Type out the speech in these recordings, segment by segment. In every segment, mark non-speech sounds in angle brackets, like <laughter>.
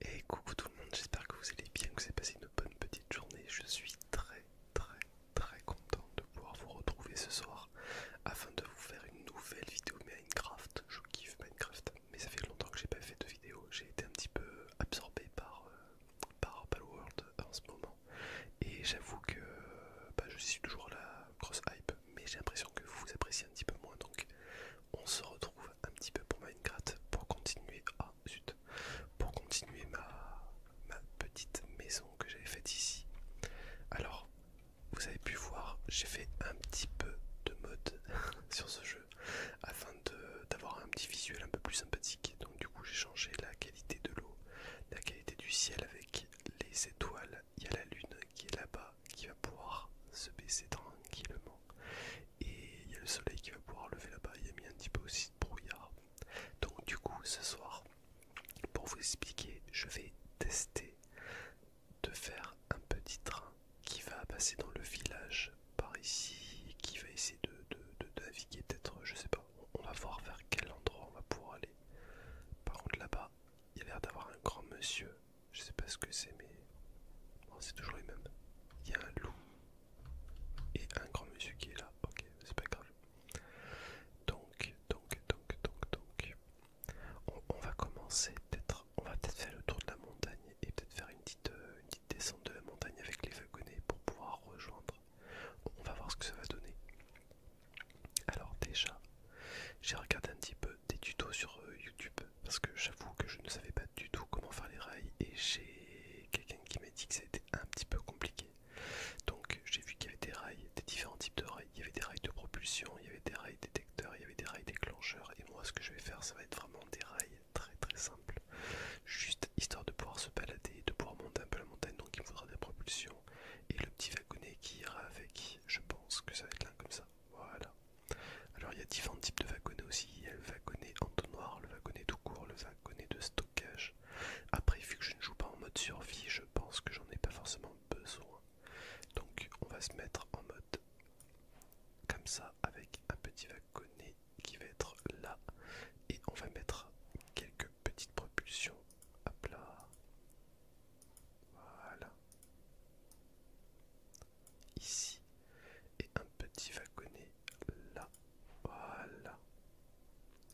Et coucou tout le monde, j'espère que vous allez bien, que vous avez passé une bonne petite journée. Je suis très très très content de pouvoir vous retrouver ce soir afin de vous faire une nouvelle vidéo Minecraft. Je kiffe Minecraft, mais ça fait longtemps que j'ai pas fait de vidéo. J'ai été un petit peu absorbé par, euh, World en ce moment. Et j'avoue que bah, je suis toujours à la grosse hype, mais j'ai l'impression que vous vous appréciez un petit peu moins. Donc on se retrouve un petit peu pour Minecraft pour continuer. à ah, zut Pour continuer ma, ma petite maison que j'avais faite ici. Alors, vous avez pu voir, j'ai fait un petit peu de mode <laughs> sur ce jeu afin d'avoir un petit visuel un peu plus sympathique. Donc du coup j'ai changé la qualité de l'eau, la qualité du ciel avec les étoiles. Il y a la lune qui est là-bas, qui va pouvoir se baisser tranquillement. Et il y a le soleil qui va pouvoir lever là-bas. Il y a mis un petit peu aussi de brouillard. Donc du coup, ce soir, pour vous expliquer, je vais tester de faire un petit train qui va passer dans le village par ici, qui va essayer de, de naviguer peut-être, je sais pas. On va voir vers quel endroit on va pouvoir aller. Par contre là-bas, il y a l'air d'avoir un grand monsieur je sais pas ce que c'est, mais oh, c'est toujours les mêmes. Il y a un loup et un grand monsieur qui est là. Ok, c'est pas grave. Donc, donc, donc, donc, donc, on, va commencer peut-être. On va peut-être faire le tour de la montagne et peut-être faire une petite, euh, descente de la montagne avec les wagonnets pour pouvoir rejoindre. On va voir ce que ça va donner. Alors déjà, j'ai regardé un petit peu euh, des tutos sur euh, YouTube parce que j'avoue que je ne savais pas du tout comment faire les rails et j'ai quelqu'un qui m'a dit que c'était un petit peu compliqué. Donc j'ai vu qu'il y avait des rails, des différents types de rails. Il y avait des rails de propulsion, il y avait des rails détecteurs, il y avait des rails déclencheurs et moi ce que je vais faire ça va être vraiment des rails très très simples. Juste histoire de pouvoir se balader, de pouvoir monter un peu la montagne donc il me faudra des propulsions et le petit wagonnet qui ira avec. Je pense que ça va être l'un comme ça. Voilà. Alors il y a différents types de wagonnets aussi, il y a le wagonnet entonnoir, le wagonnet tout court, le wagonnet de stockage. Après vu que je ne joue pas en mode survie, je pense que j'en ai pas forcément besoin. Donc on va se mettre en mode comme ça avec un petit wagonnet qui va être là et on va mettre quelques petites propulsions à plat. Voilà ici et un petit wagonnet là. Voilà.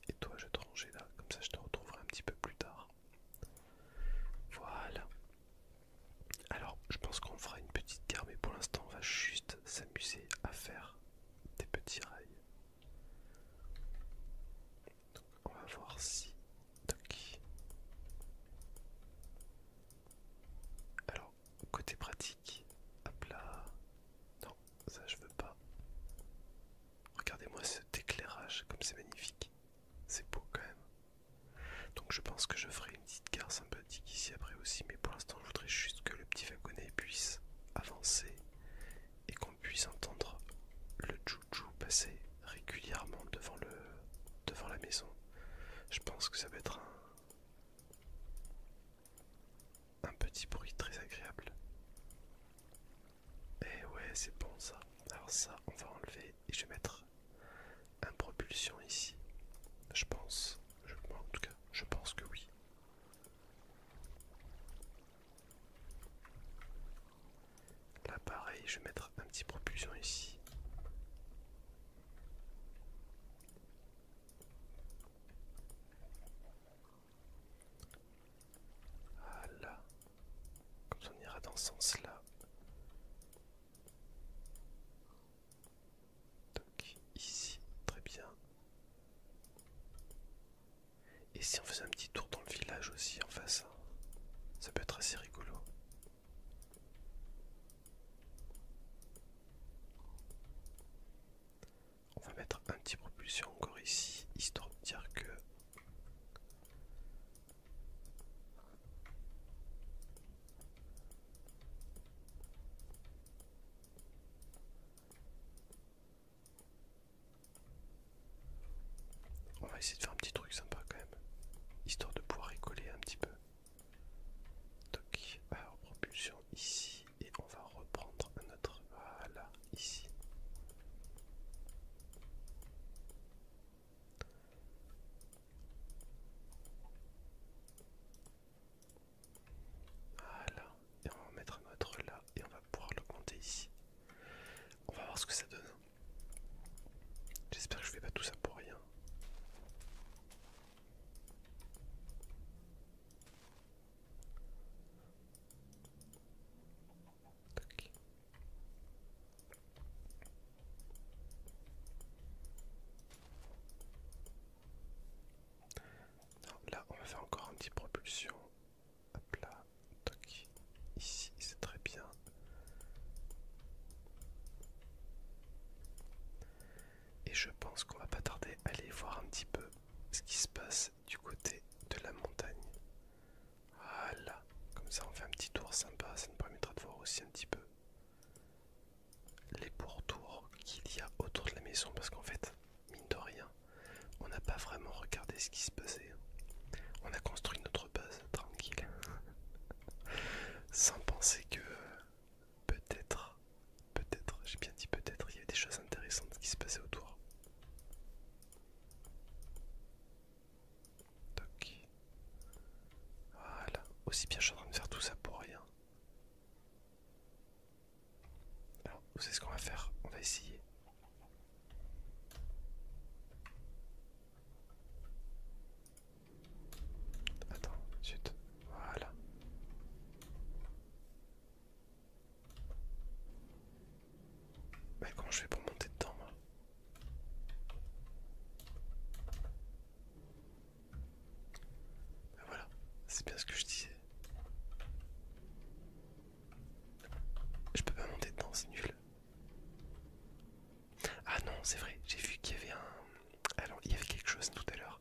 Et toi, je vais te ranger là, comme ça je te retrouverai un petit peu plus tard. Voilà. Alors, je pense qu'on fera une petite guerre, mais pour l'instant, on va juste s'amuser à faire des petits rails. on va voir si. Alors, côté pratique, à plat. Non, ça je veux pas. Regardez-moi cet éclairage, comme c'est magnifique. C'est beau quand même. Donc je pense que je ferai une petite gare sympathique ici après aussi, mais pour l'instant je voudrais juste que le petit wagonnet puisse avancer et qu'on puisse entendre le chouchou passer régulièrement devant le devant la maison. Je pense que ça va être un un petit bruit très agréable. Et eh ouais, c'est bon ça. Alors ça, on va enlever et je vais mettre un propulsion ici. Je pense. Je, en tout cas, je pense que oui. Là pareil, je vais mettre un petit propulsion ici. Voilà là, on ira dans ce sens-là. Donc ici, très bien. Et si on faisait un petit tour dans le village aussi en face, hein. ça peut être assez rigolo. On va mettre un petit propulsion encore ici, histoire de dire que... On va essayer de faire un petit truc sympa quand même, histoire de pouvoir rigoler un petit peu alors euh, propulsion ici et on va reprendre notre... Voilà, ici. Voilà, et on va mettre notre là et on va pouvoir l'augmenter ici. On va voir ce que ça donne. J'espère que je fais pas tout ça pour rien là, on va faire encore un petit propulsion. Hop là, Ici, c'est très bien. Et je pense qu'on va pas tarder à aller voir un petit peu ce qui se passe du côté de la montagne. Voilà, comme ça on fait un petit tour sympa, ça nous permettra de voir aussi un petit peu les pourtours qu'il y a autour de la maison parce qu'en fait, mine de rien, on n'a pas vraiment regardé ce qui se passait. On a construit notre base tranquille, <laughs> sans penser que peut-être, peut-être, j'ai bien dit peut-être, il y a des choses intéressantes qui se passaient autour. Voilà, aussi bien je suis en train de faire tout ça pour rien. Alors, vous savez ce qu'on va faire On va essayer. Attends, zut, voilà. Mais bah, comment je fais pour monter dedans moi bah, Voilà, c'est bien ce que je disais. Je peux pas monter dedans, c'est nul. Ah non, c'est vrai, j'ai vu qu'il y avait un. Alors, il y avait quelque chose tout à l'heure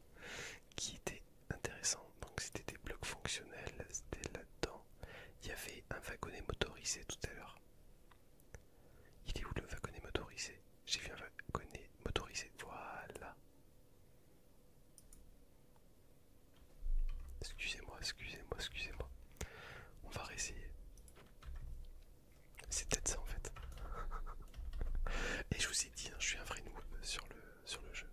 qui était intéressant. Donc, c'était des blocs fonctionnels, c'était là-dedans. Il y avait un wagonnet motorisé tout à l'heure. Il est où le wagonnet motorisé J'ai vu un wagonnet motorisé. Voilà. Excusez-moi, excusez-moi, excusez-moi. On va réessayer. C'est peut-être ça en fait. <laughs> Et je vous ai dit, hein, je suis un vrai noob sur le, sur le jeu.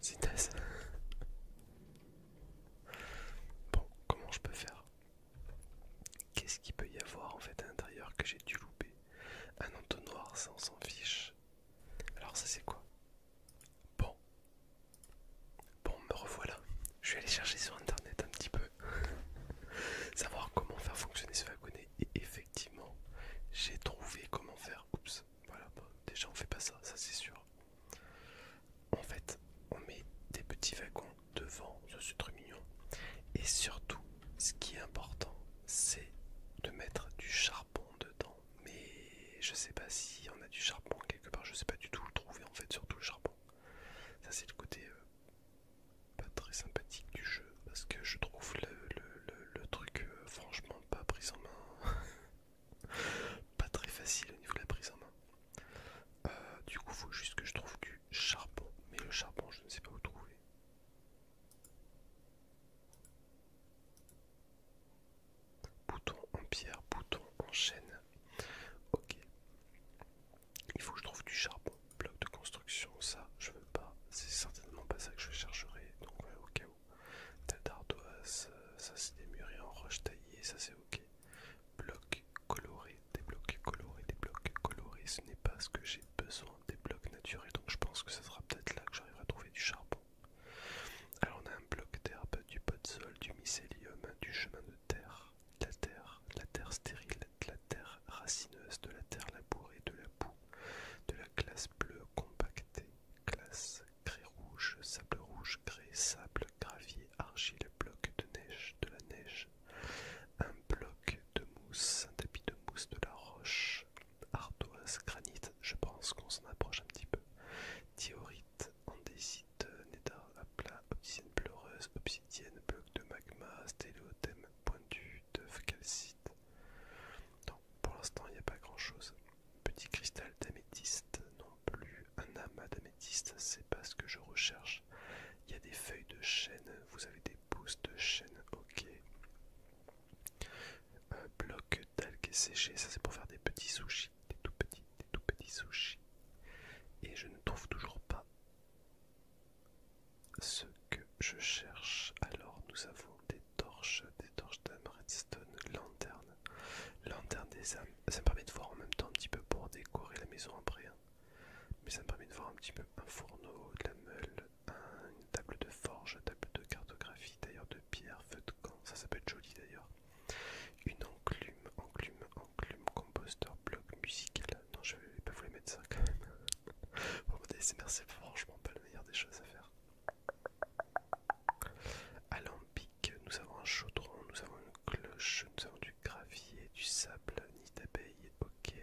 C'est ça. <laughs> Bon, comment je peux faire Qu'est-ce qu'il peut y avoir en fait à l'intérieur que j'ai dû louper Un entonnoir, ça on s'en fiche. Alors ça c'est quoi Bon. Bon, me revoilà. Je vais aller chercher sur internet un petit peu. <laughs> Savoir comment faire fonctionner ce wagonnet. Et effectivement, j'ai trouvé comment faire. Oups, voilà. Bon, déjà, on fait pas ça, ça c'est sûr. En fait, on met des petits wagons devant. ce c'est très mignon. Et surtout, ce qui est important, c'est de mettre du charbon dedans, mais je sais pas si on a du charbon quelque part, je sais pas du tout le trouver en fait, surtout le charbon. Ça, c'est le côté euh, pas très sympathique du jeu parce que je trouve le, truc euh, franchement pas pris en main, <laughs> pas très facile au niveau de la prise en main. Euh, du coup, faut juste que je trouve du charbon, mais le charbon, je ne sais pas où trouver. Bouton en pierre, bouton en chêne, Ok. Il faut que je trouve du charbon. Bloc de construction, ça je veux pas. C'est certainement pas ça que je chercherai. Donc au cas où. d'ardoise, euh, ça c'est des murs en roche taillée, ça c'est ok. Blocs coloré, des blocs colorés, des blocs colorés. Ce n'est pas ce que j'ai besoin des blocs naturels. Donc je pense que ça sera peut-être là que j'arriverai à trouver du charbon. Alors on a un bloc d'herbe, du pot de sol, du mycélium, du chemin de terre, de la terre, la terre stérile, de la terre racineuse, de la terre labourée, de la boue, de la classe bleue compactée, classe grès rouge, sable rouge, grès, sable, gravier, argile, bloc de neige, de la neige, un bloc de mousse, un tapis de mousse, de la roche, ardoise, granit, je pense qu'on s'en approche un petit peu. Diorite, andésite, néda à plat, obsidienne pleureuse, obsidienne, bloc de magma, stéléothème, pointu, teuf, calcite. pour l'instant il n'y a pas grand chose. Petit cristal d'améthyste non plus, un amas d'améthyste, c'est pas ce que je recherche. Il y a des feuilles de chêne, vous avez des pousses de chêne, ok. Un bloc que Ça, c'est pour faire des petits sushis, des tout petits, des tout petits sushis. Et je ne trouve toujours pas ce que je cherche. Alors, nous avons des torches, des torches d'âme, redstone, lanterne, lanterne des âmes. Ça me permet de voir en même temps un petit peu pour décorer la maison après. Hein. Mais ça me permet de voir un petit peu un fourneau, de la meule, une table de forge, table de cartographie, d'ailleurs de pierre, feu de camp, ça, ça peut être joli d'ailleurs. Une enclume, enclume, enclume, composteur, bloc, musical. Non, je vais pas vous les mettre ça quand même. <laughs> Bon, c'est franchement pas la meilleure des choses à faire. Alambic, nous avons un chaudron, nous avons une cloche, nous avons du gravier, du sable, nid d'abeille, ok.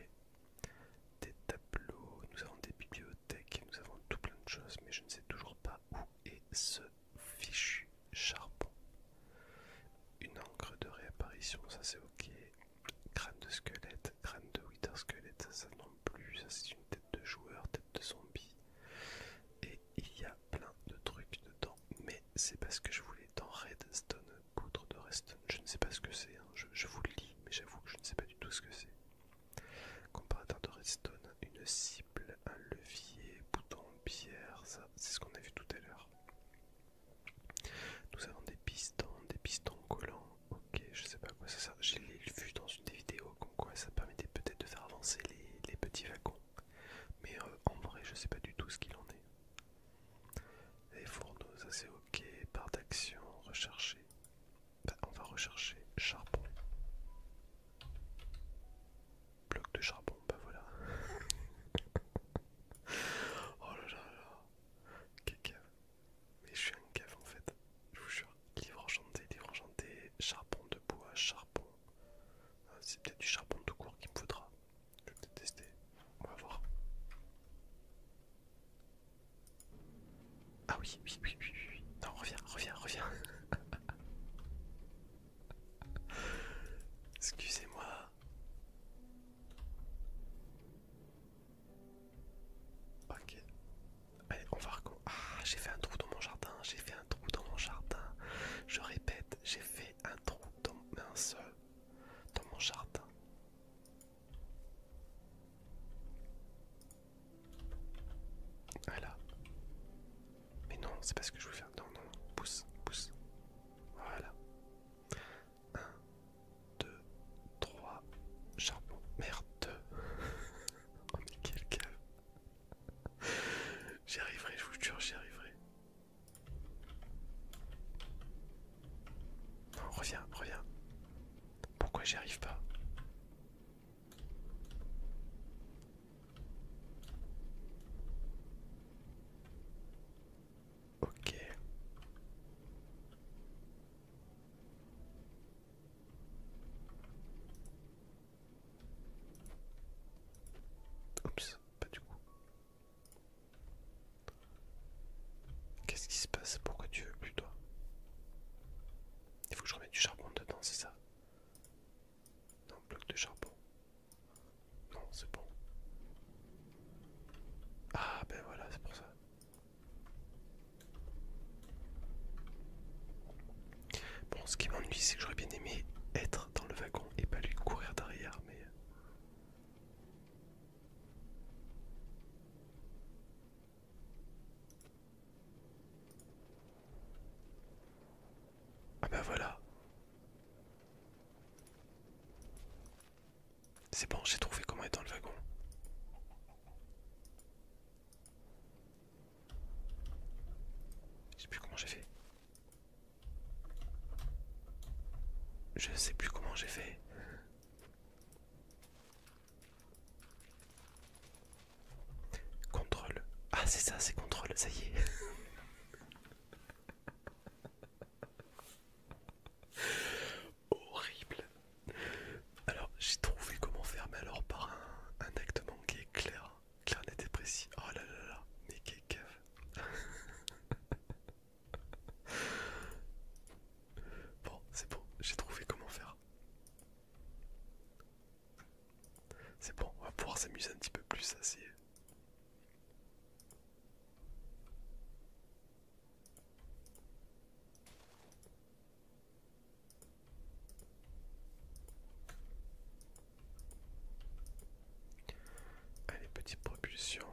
Des tableaux, nous avons des bibliothèques et nous avons tout plein de choses, mais je ne sais toujours pas où est ce fichu charbon. Une encre de réapparition, ça c'est ok. Crâne de squelette, crâne de wither squelette, ça, non plus, ça c'est une tête de joueur, tête de zombie. Et il y a plein de trucs dedans, mais c'est parce que je voulais dans Redstone, poudre de redstone, je ne sais pas ce que c'est, hein. je, je vous le lis, mais j'avoue que je ne sais pas du tout ce que c'est. Comparateur de redstone, une cible, un levier, bouton, pierre, ça c'est ce qu'on a vu tout à l'heure. Nous avons des pistons, des pistons collants, ok je sais pas quoi quoi ça je j'ai vu dans une des vidéos quoi ça permettait peut-être de faire avancer les, petits wagons, mais euh, en vrai je sais pas du tout ce qu'il en est. Les fourneaux, ça c'est ok, part d'action, rechercher, bah, on va rechercher charbon. Bloc de charbon, bah voilà. <laughs> oh là là Quelle cave. Mais je suis un cave en fait. Je vous jure. Livre enchanté, livre enchanté, charbon de bois, charbon. Ah, c'est peut-être du charbon tout court qu'il me faudra. Je vais peut-être tester. On va voir. Ah oui, oui, oui, oui, oui. Non, reviens, reviens, reviens. <laughs> Excusez-moi. Ok. Allez, on va recommencer. Ah, j'ai fait un trou dans mon jardin. J'ai fait un trou dans mon jardin. Je répète, j'ai fait un trou dans un seul dans mon jardin. Voilà. Mais non, c'est pas ce que je veux faire. Non, non, Pousse, pousse. Voilà. 1, 2, 3. Charbon. Merde. <laughs> oh mais quel j'y arriverai, je vous jure, j'y arriverai. Non, reviens, reviens. Pourquoi j'y arrive pas Ok. Oups, pas du coup. Qu'est-ce qui se passe Pourquoi tu veux plus toi Il faut que je remette du charbon dedans, c'est ça non, bloc de charbon. Non, c'est bon. Ah ben voilà, c'est pour ça. Bon, ce qui m'ennuie, c'est que j'aurais bien aimé être dans le wagon et pas lui courir derrière, mais... Euh, ah ben voilà. C'est bon, j'ai trouvé comment être dans le wagon. Je sais plus comment j'ai fait. Je sais plus comment j'ai fait. Contrôle. Ah, c'est ça, c'est contrôle, ça y est. <laughs> Horrible. Alors, j'ai trouvé comment faire, mais alors par un, acte manqué clair, clair net précis. Oh là là là, mais <laughs> bon, c'est bon, j'ai trouvé comment faire. C'est bon, on va pouvoir s'amuser un petit peu plus, assez. Allez, petite propulsion.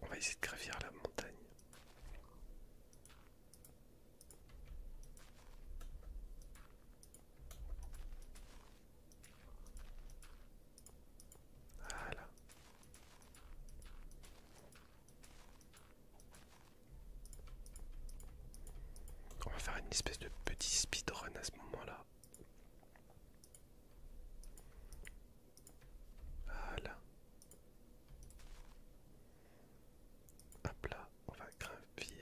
On va essayer de gravir la montagne. Voilà. On va faire une espèce de petit speedrun à ce moment-là. Voilà. Hop là, on va grimper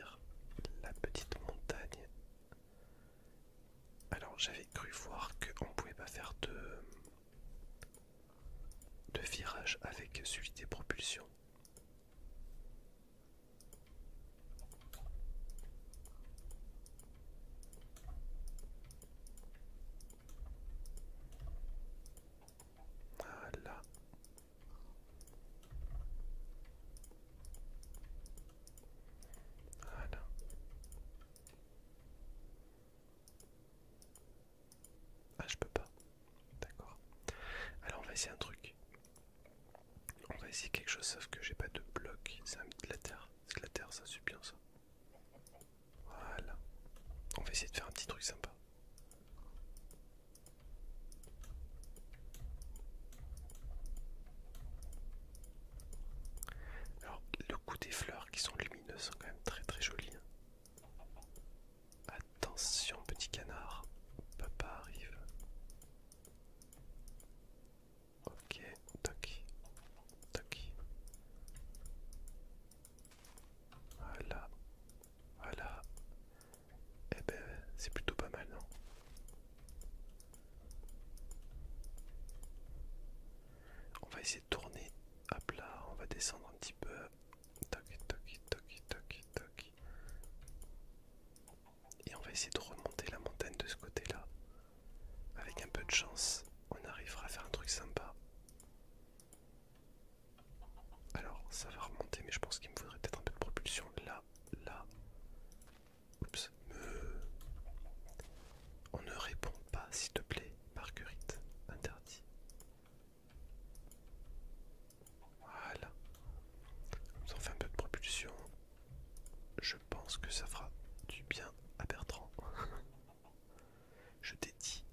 la petite montagne. Alors j'avais cru voir qu'on pouvait pas faire de, de virage avec celui des propulsions. Voilà. Voilà. Ah, je peux pas. D'accord. Alors, on va essayer un truc. On va essayer quelque chose sauf que j'ai pas de bloc. C'est de la terre. C'est la terre, ça suit bien ça. Voilà. On va essayer de faire un petit truc sympa. Alors le coup des fleurs qui sont lumineuses sont quand même très très jolies. Hein. Attention petit canard, papa arrive. Ok, toc, toc. Voilà, voilà. Eh ben, c'est plutôt pas mal, non On va essayer de tourner. à plat. on va descendre un petit peu. Toc, toc, toc, toc, toc. Et on va essayer de remonter la montagne de ce côté-là. Avec un peu de chance, on arrivera à faire un truc sympa. Alors, ça va remonter, mais je pense qu'il me faudrait peut-être un peu de propulsion. Là, là. Oups. On ne répond pas, s'il te plaît, Marguerite. Interdit. Voilà. on ça fait un peu de propulsion. Je pense que ça fera du bien à Bertrand. <laughs> Je t'ai dit.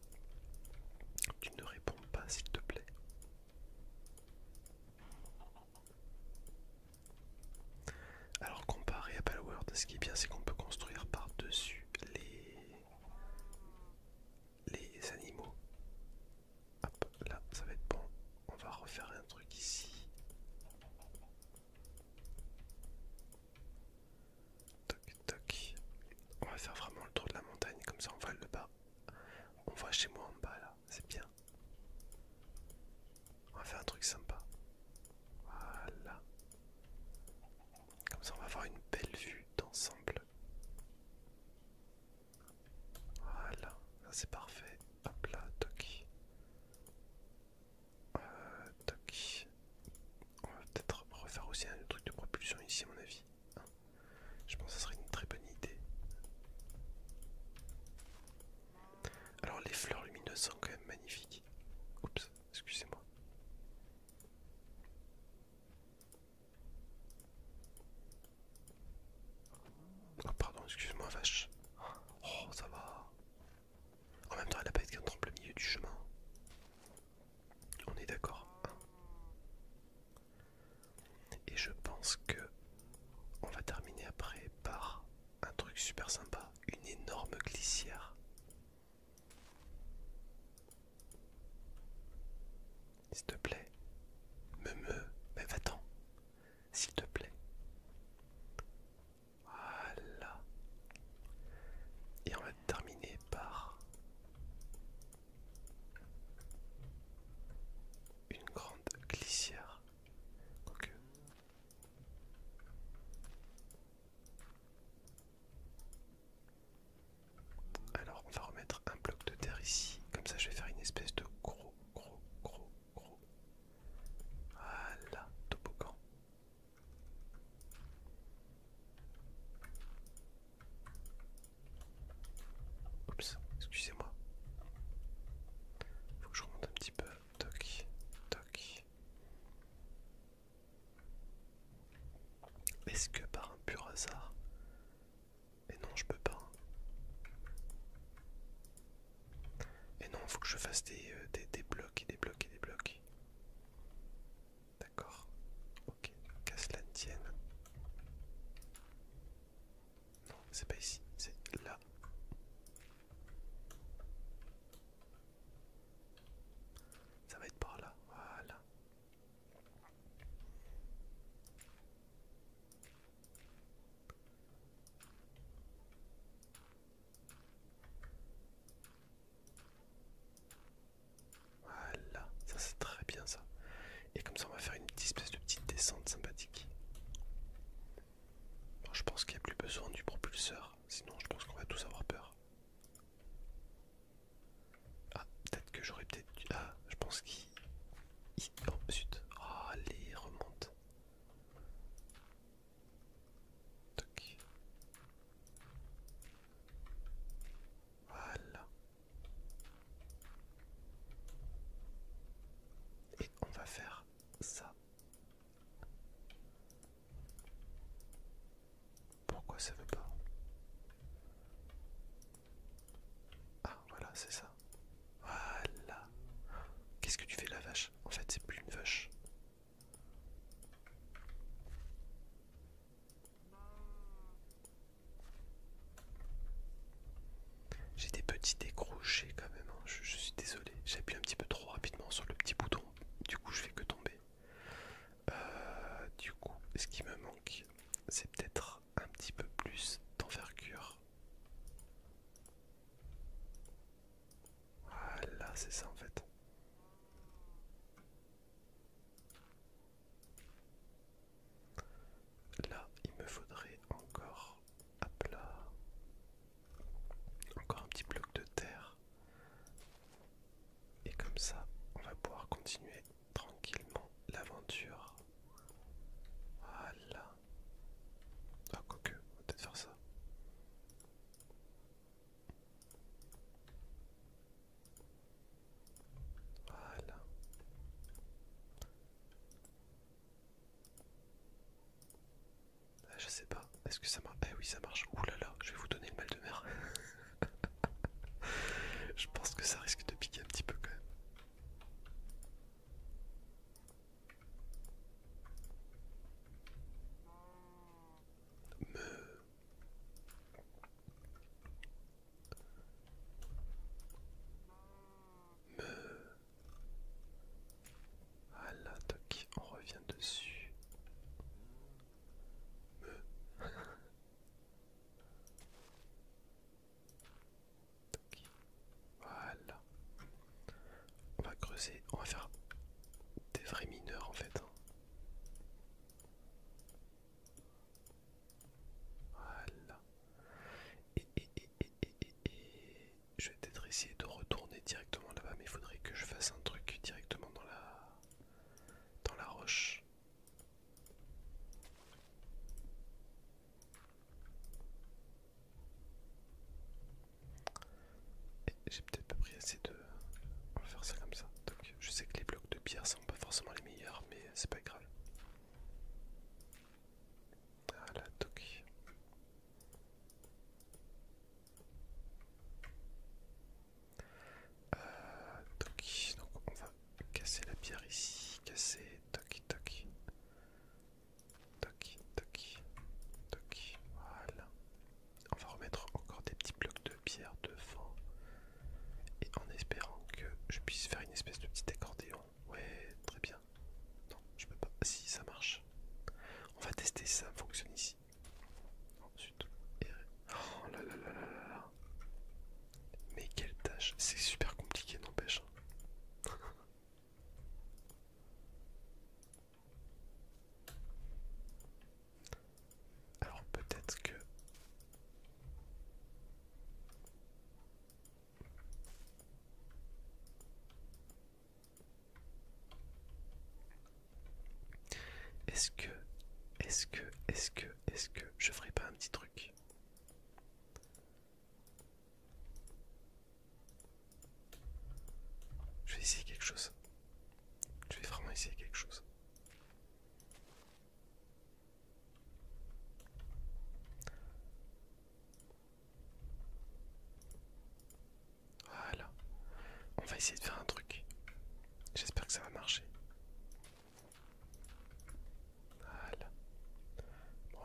Tu ne réponds pas s'il te plaît. Alors comparé à Palworld, ce qui est bien c'est qu'on peut construire par-dessus les... les animaux. Hop, là, ça va être bon. On va refaire un truc ici. Toc, toc. On va faire vraiment le tour de la montagne, comme ça on voit le bas. On voit chez moi en bas, là. C'est bien. On va faire un truc sympa. Voilà. Comme ça on va avoir une belle vue d'ensemble. Voilà, c'est parfait. Hop là, toc. Euh, On va peut-être refaire aussi un truc de propulsion ici, à mon avis. Hein. Je pense que ça serait une très bonne idée. Alors, les fleurs lumineuses sont quand même magnifiques. Oups, excusez-moi. Oh pardon, excuse-moi vache. Oh ça va. En même temps elle a pas été en au milieu du chemin. On est d'accord. Hein. Et je pense que on va terminer après par un truc super sympa, une énorme glissière. S'il te plaît, me me, mais va-t'en s'il te plaît. Voilà. Et on va terminer par une grande glissière. Alors on va remettre un bloc de terre ici, comme ça je vais faire une espèce de gros gros gros gros. Voilà, toboggan. Oups, excusez-moi. Faut que je remonte un petit peu. Toc, toc. Est-ce que par un pur hasard, et non, je peux pas. Et non, faut que je fasse des, euh, des, blocs et des blocs et des blocs. D'accord. Ok, Casse la tienne. Non, c'est pas ici, c'est là. Ça va être par là, voilà. Voilà, ça c'est très bien ça. Et comme ça on va faire une petite espèce de petite descente sympathique. je pense qu'il n'y a plus besoin du propulseur, sinon je pense qu'on va tous avoir peur. Ah, peut-être que j'aurais peut-être dû... Ah, je pense qu'il... Oh, zut. allez, ah, remonte. Voilà. Et on va faire ça. Pourquoi ça veut pas Ah voilà, c'est ça. Voilà. Qu'est-ce que tu fais la vache En fait, c'est plus une vache. J'ai des petits décrochés quand même, hein. je, suis désolé. J'appuie un petit peu trop rapidement sur le petit bouton, du coup je fais que tomber. Euh, du coup, ce qui me manque, c'est peut-être un petit peu plus d'envergure. Voilà, c'est ça en fait. Là, il me faudrait encore à plat, encore un petit bloc de terre. Et comme ça, on va pouvoir continuer tranquillement l'aventure. Voilà. Ah, que, on va peut-être faire ça. Voilà. Ah, je sais pas, est-ce que ça marche Eh oui, ça marche. Ouh là là, je vais vous donner le mal de mer. <laughs> je pense que ça risque de piquer un petit peu quand même me me ah là on revient dessus me <laughs> Voilà. On va creuser, on va faire des vrais mineurs en fait. Voilà. Et, et, je vais peut-être essayer de retourner directement là-bas, mais il faudrait que je fasse un truc directement dans la, dans la roche. J'ai peut-être pas pris assez de... On faire ça comme ça. Donc je sais que les blocs de pierre sont pas forcément les meilleurs, mais c'est pas grave. Voilà, toc, euh, donc on va casser la pierre ici, casser, toc, toc. Toc, toc, toc. Voilà. On va remettre encore des petits blocs de pierre devant. Et en espérant que je puisse faire une espèce de petit accordéon. Ouais, très bien. Non, je peux pas. Si, ça marche. On va tester si ça fonctionne ici. Ensuite. Oh là là là là là Mais quelle tâche. C'est super compliqué, n'empêche. Hein. <laughs> Alors peut-être que... Est-ce que, est-ce que, est-ce que, est-ce que je ferai pas un petit truc je vais essayer quelque chose. Je vais vraiment essayer quelque chose. Voilà. On va essayer de faire un truc. J'espère que ça va marcher. Voilà.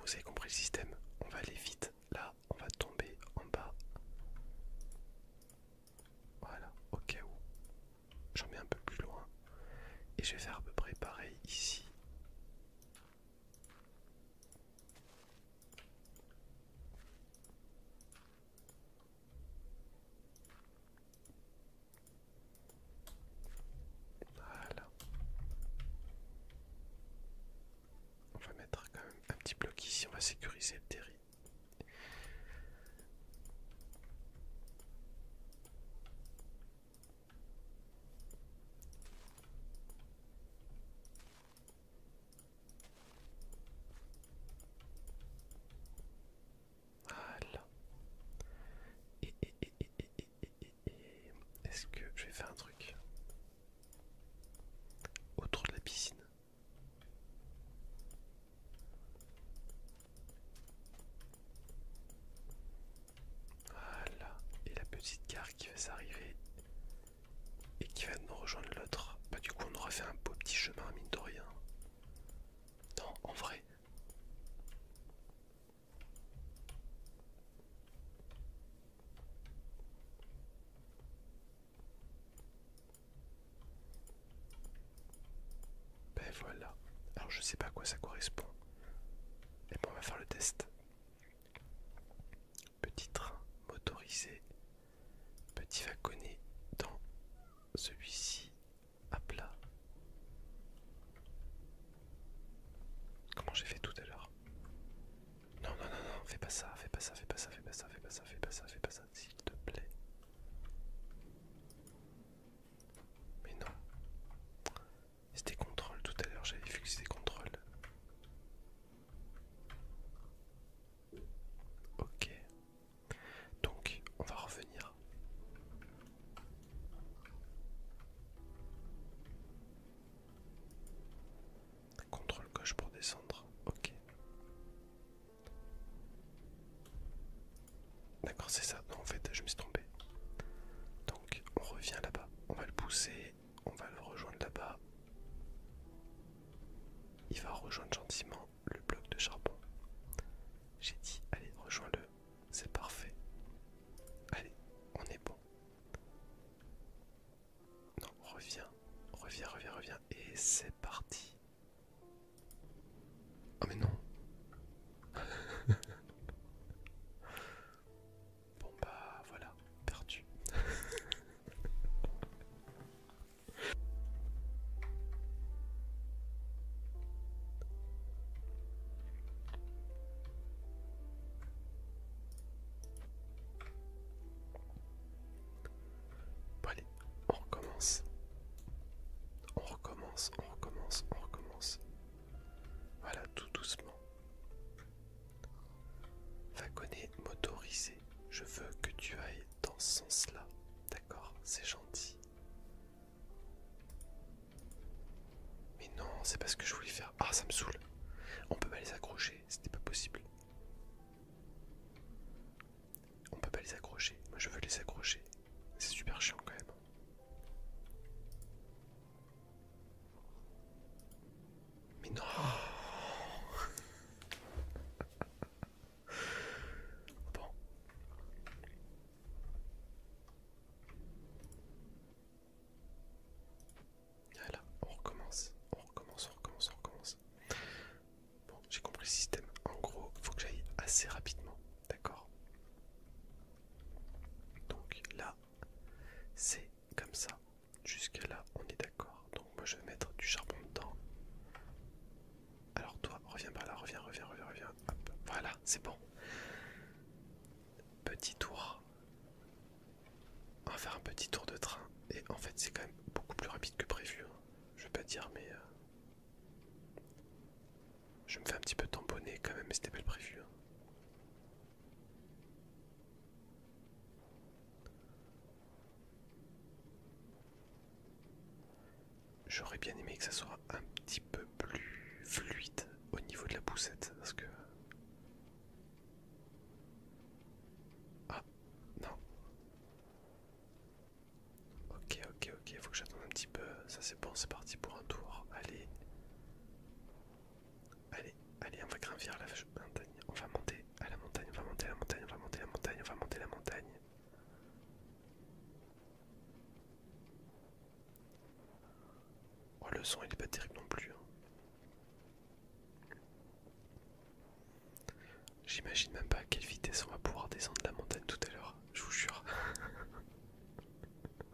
vous avez compris le système. On va aller vite. Là, on va tomber en bas. Voilà, au cas où. J'en mets un peu plus loin. Et je vais faire à peu près pareil ici. Voilà. On va mettre quand même un petit bloc ici, on va sécuriser le terrain. Voilà. Et, et, et, et, et, et, et, est-ce que je vais faire un truc autour de la piscine Voilà, et la petite gare qui va s'arriver et qui va nous rejoindre l'autre. Bah du coup on aura fait un beau petit chemin mine de rien. Non, en vrai. Ben voilà. Alors je sais pas à quoi ça correspond. mais bon, on va faire le test. Petit train motorisé. Petit wagonnet dans celui-ci à plat. Comment j'ai fait tout à l'heure Non, non, non, non, fais pas ça, fais pas ça, fais pas ça, fais pas ça, fais pas ça, fais pas ça, fais pas ça, s'il te plaît. Mais non. C'était contrôle tout à l'heure, j'avais vu que c'était contrôle. Ok. Donc, on va revenir. Contrôle gauche pour descendre. Ok. D'accord, c'est ça. Non, en fait, je me suis trompé. Donc, on revient là-bas. On va le pousser. On va le rejoindre là-bas. Il va rejoindre gentiment le bloc de charbon. J'ai dit, allez, rejoins-le. C'est parfait. Allez, on est bon. Non, reviens, reviens, reviens, reviens. Et c'est parti. Oh mais non. <laughs> bon bah voilà, perdu allez, on recommence. On recommence, on recommence, on recommence. Voilà, tout doucement. Vagonnet motorisé, je veux que tu ailles dans ce sens-là. D'accord, c'est gentil. Mais non, c'est pas ce que je voulais faire. Ah, ça me saoule. On peut pas les accrocher, c'était pas possible. On peut pas les accrocher. Moi, je veux les accrocher. C'est super chiant quand même. Mais non <laughs> Bon. Voilà, on recommence, on recommence, on recommence, on recommence. Bon, j'ai compris le système. En gros, il faut que j'aille assez rapidement, d'accord Donc là, c'est comme ça. Jusqu'à là, on est d'accord. Donc moi, je vais mettre du charbon dedans. Alors toi, reviens par là, reviens, reviens, reviens, reviens. Hop, voilà, c'est bon. Petit tour on va faire un petit tour de train et en fait c'est quand même beaucoup plus rapide que prévu. Hein. Je vais pas dire mais euh, je me fais un petit peu tamponner quand même mais c'était pas le prévu. Hein. J'aurais bien aimé que ça soit un petit peu plus fluide au niveau de la poussette parce que ah, non. Ok, ok, ok, faut que j'attende un petit peu. Ça c'est bon, c'est parti pour un tour. Allez. Allez, allez, on va gravir la montagne. On va monter à la montagne, on va monter à la montagne, on va monter à la montagne, on va monter la montagne. Oh, le son il est pas terrible non plus. Hein. J'imagine même pas à quelle vitesse on va pouvoir descendre la montagne tout à l'heure, je vous jure. <laughs>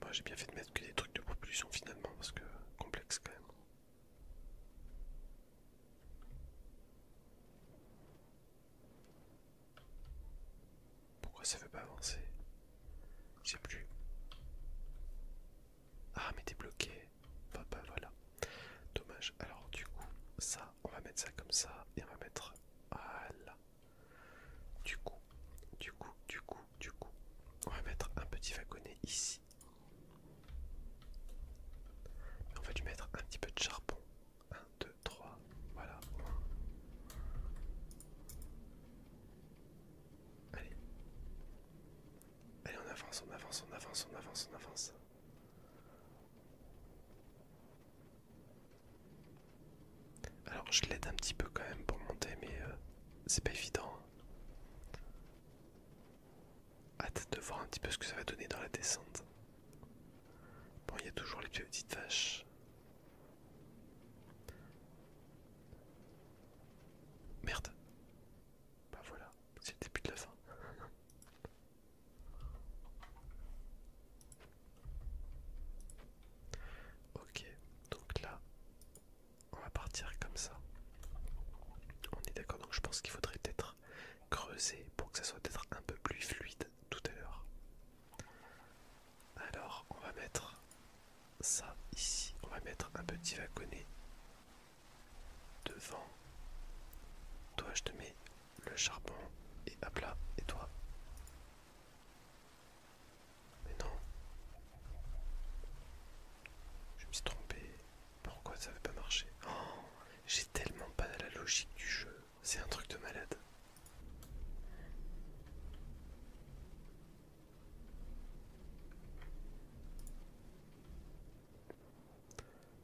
Moi j'ai bien fait de mettre que des trucs de propulsion finalement parce que complexe quand même. Pourquoi ça veut pas avancer J'ai plus. Ah mais t'es bloqué. Bah, voilà. Dommage. Alors du coup, ça, on va mettre ça comme ça et on va mettre Voilà. Du coup, du coup, du coup, du coup, on va mettre un petit wagonnet ici on va lui mettre un petit peu de charbon. 1, 2, 3, voilà. Allez. Allez, on avance, on avance, on avance, on avance, on avance. Alors je l'aide un petit peu quand même pour monter mais euh, c'est pas évident. Hein. Hâte de voir un petit peu ce que ça va donner dans la descente. Bon, il y a toujours les petites vaches. Merde. Bah voilà, c'est le début de la fin. <laughs> ok, donc là, on va partir comme ça. On est d'accord, donc je pense qu'il faudrait peut-être creuser pour que ça soit peut-être un peu plus fluide tout à l'heure. Alors on va mettre ça ici, on va mettre un petit wagonnet devant. Toi je te mets le charbon et à plat et toi Mais non Je me suis trompé. Pourquoi ça veut pas marcher oh, J'ai tellement pas la logique du jeu. C'est un truc de malade.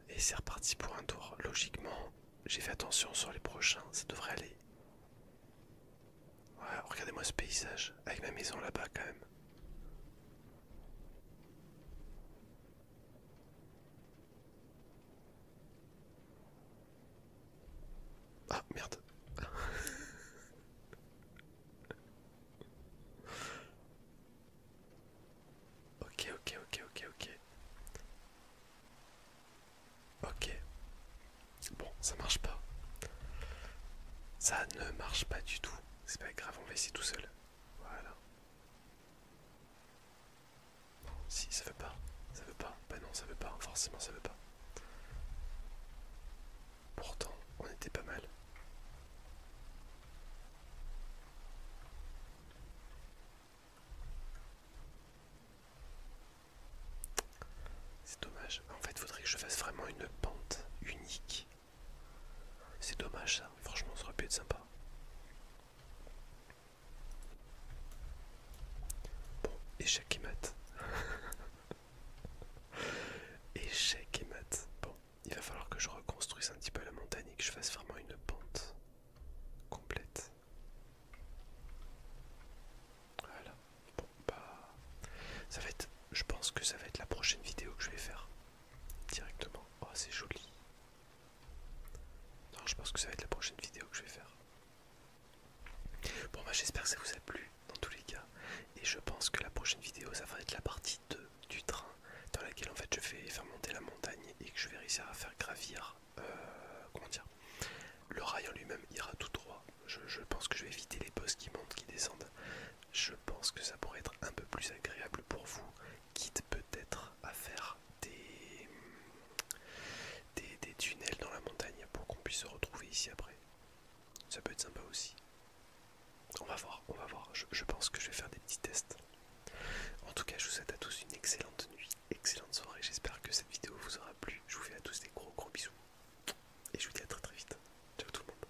Et c'est reparti pour un tour. Logiquement, j'ai fait attention sur les prochains, ça devrait aller. regardez-moi ce paysage, avec ma maison là-bas quand même. Ah merde. <laughs> ok, ok, ok, ok, ok. Ok. Bon, ça marche pas. Ça ne marche pas du tout. C'est pas grave, on va essayer tout seul. Voilà. Si ça veut pas, ça veut pas, bah non ça veut pas, forcément ça veut pas. Pourtant, on était pas mal. C'est dommage. En fait, faudrait que je fasse vraiment une pente unique c'est dommage ça, franchement ça aurait pu être sympa. Bon, échec et mat. <laughs> échec et mat. Bon, il va falloir que je reconstruise un petit peu la montagne et que je fasse vraiment une pente complète. Voilà. Bon, bah... Ça va être... Je pense que ça va être la prochaine vidéo que je vais faire directement. Oh, c'est joli. je pense que ça va être la prochaine vidéo que je vais faire. Bon, bah, j'espère que ça vous a plu dans tous les cas. Et je pense que la prochaine vidéo, ça va être la partie 2 du train, dans laquelle en fait je vais faire monter la montagne et que je vais réussir à faire gravir. Euh, comment dire Le rail en lui-même ira tout droit. Je, pense que je vais éviter les bosses qui montent, qui descendent. Je pense que ça pourrait être un peu plus agréable pour vous quitte peut-être à faire des, des, tunnels dans la montagne pour qu'on puisse se retrouver ici après. Ça peut être sympa aussi. On va voir, on va voir. je pense que je vais faire des petits tests. En tout cas, je vous souhaite à tous une excellente nuit, excellente soirée. J'espère que cette vidéo vous aura plu. Je vous fais à tous des gros gros bisous. Et je vous dis à très très vite. Ciao tout le monde.